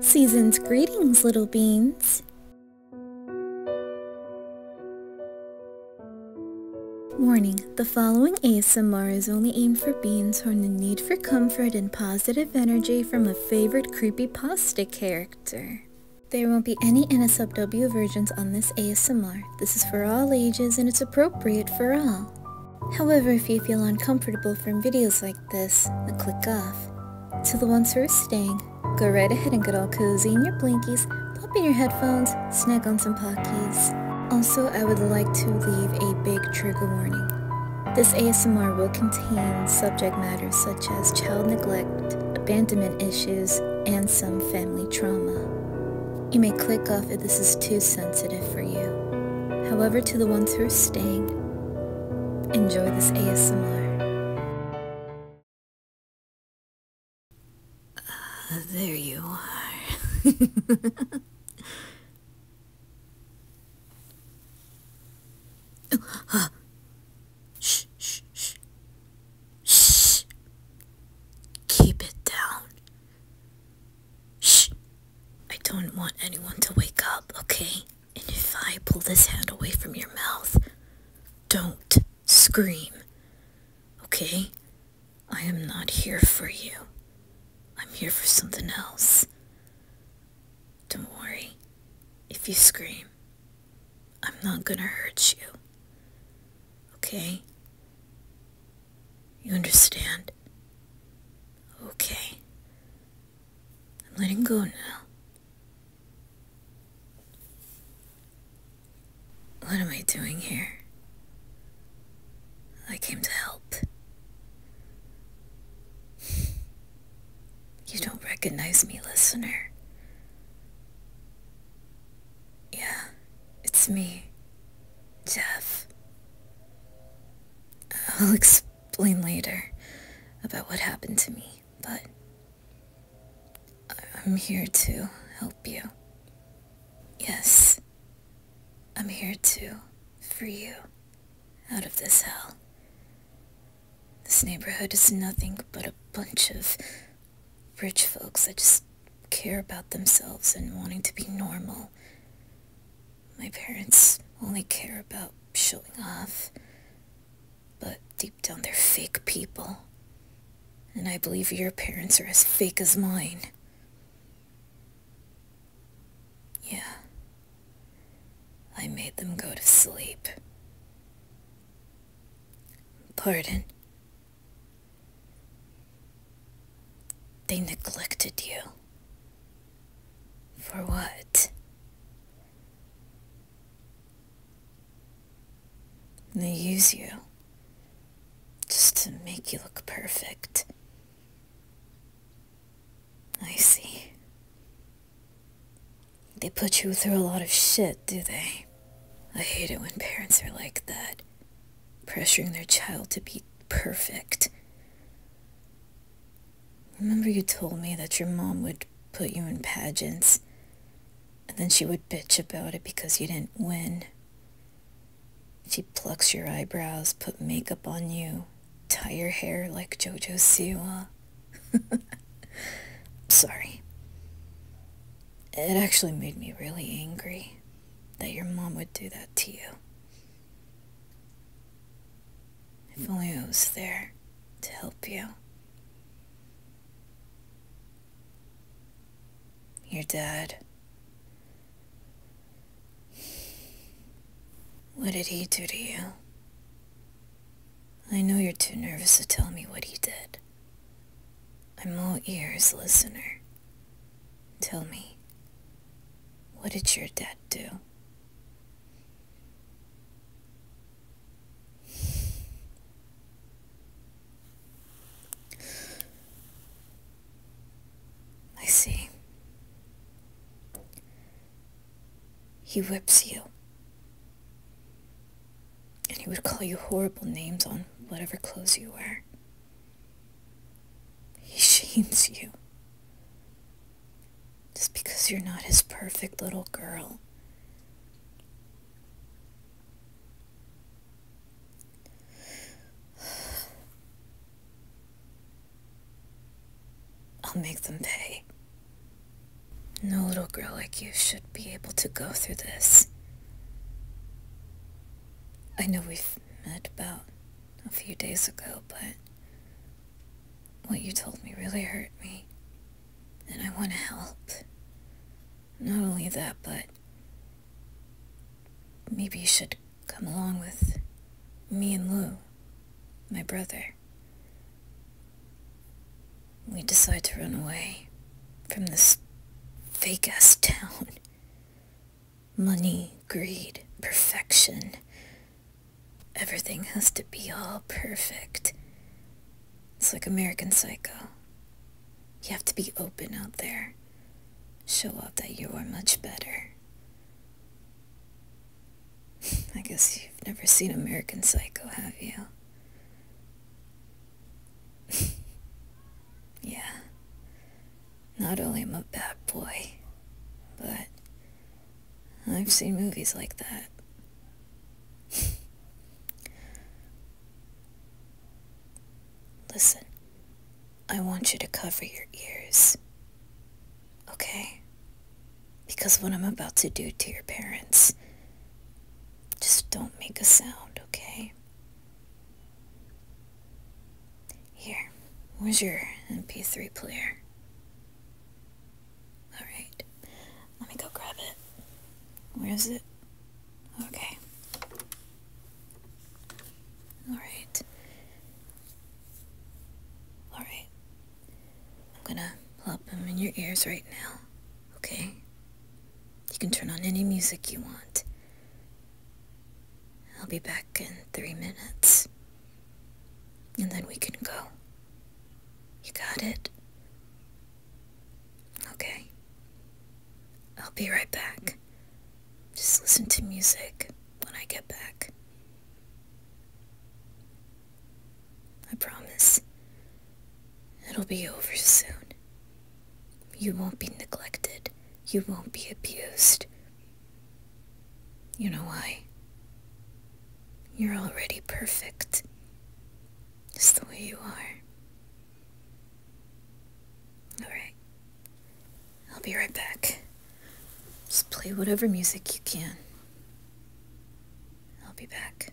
Season's greetings, little beans. Warning, the following ASMR is only aimed for beans who are in the need for comfort and positive energy from a favorite creepy pasta character. There won't be any NSFW versions on this ASMR. This is for all ages and it's appropriate for all. However, if you feel uncomfortable from videos like this, click off. To the ones who are staying, go right ahead and get all cozy in your blankies, pop in your headphones, snag on some pockies. Also, I would like to leave a big trigger warning. This ASMR will contain subject matters such as child neglect, abandonment issues, and some family trauma. You may click off if this is too sensitive for you. However, to the ones who are staying, enjoy this ASMR. Ah, there you are. Ah. shh, shh, shh. Shh. Keep it down. Shh. I don't want anyone to wake up, okay? And if I pull this hand away from your mouth, don't scream, okay? I am not here for you. I'm here for something else. Don't worry. If you scream, I'm not gonna hurt you. Okay? You understand? Okay. I'm letting go now. What am I doing here? I came to help. You don't recognize me, listener. Yeah, it's me, Jeff. I'll explain later about what happened to me, but I'm here to help you. Yes, I'm here to free you out of this hell. This neighborhood is nothing but a bunch of rich folks that just care about themselves and wanting to be normal my parents only care about showing off, but deep down they're fake people. And I believe your parents are as fake as mine. Yeah. I made them go to sleep. Pardon. They neglected you. For what? They use you just to make you look perfect. I see. They put you through a lot of shit, do they? I hate it when parents are like that pressuring their child to be perfect. Remember, you told me that your mom would put you in pageants, and then she would bitch about it because you didn't win. She plucks your eyebrows, put makeup on you, tie your hair like JoJo Siwa. Sorry. It actually made me really angry that your mom would do that to you. If only I was there to help you. Your dad. What did he do to you? I know you're too nervous to tell me what he did. I'm all ears, listener. Tell me, what did your dad do? I see. He whips you. And he would call you horrible names on whatever clothes you wear. He shames you. Just because you're not his perfect little girl. I'll make them pay. No little girl like you should be able to go through this. I know we've met about a few days ago, but what you told me really hurt me, and I want to help. Not only that, but maybe you should come along with me and Lou, my brother. We decide to run away from this fake ass town. Money, greed, perfection. Everything has to be all perfect. It's like American Psycho. You have to be open out there. Show up that you are much better. I guess you've never seen American Psycho, have you? Yeah. Not only am I a bad boy, but I've seen movies like that. Listen, I want you to cover your ears. Okay? Because what I'm about to do to your parents, just don't make a sound, okay? Here, where's your MP3 player? Alright, let me go grab it. Where is it? Okay. Alright. Alright. I'm gonna plop them in your ears right now, okay? You can turn on any music you want. I'll be back in three minutes. And then we can go. You got it? Okay. I'll be right back. Just listen to music when I get back. I promise. It'll be over soon. You won't be neglected. You won't be abused. You know why? You're already perfect. Just the way you are. Alright. I'll be right back. Just play whatever music you can. I'll be back.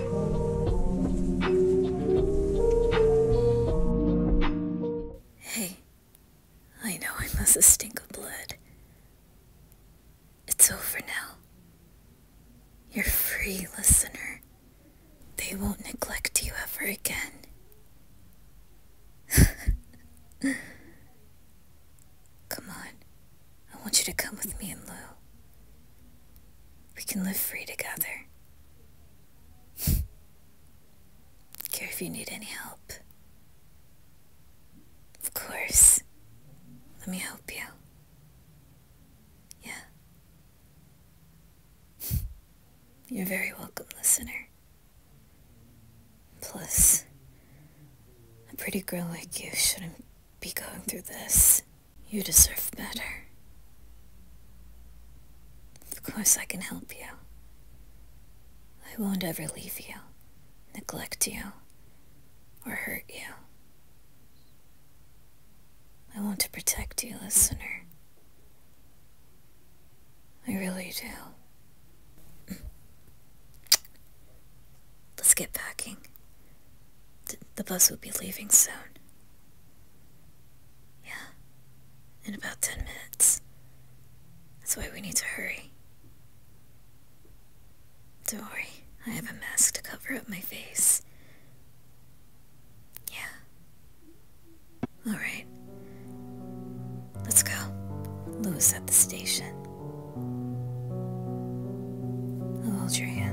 Hey, I know I must have stink of blood. It's over now. You're free, listener. They won't neglect you ever again. Come on. I want you to come with me and Lou. We can live free together. Care if you need any help. Of course. Let me help you. Yeah. You're very welcome, listener. Plus, a pretty girl like you shouldn't be going through this. You deserve better. Of course I can help you. I won't ever leave you, neglect you, or hurt you. I want to protect you, listener. I really do. Let's get packing the bus will be leaving soon. Yeah, in about ten minutes. That's why we need to hurry. Don't worry, I have a mask to cover up my face. Yeah. Alright. Let's go. Lou's at the station. I'll hold your hand.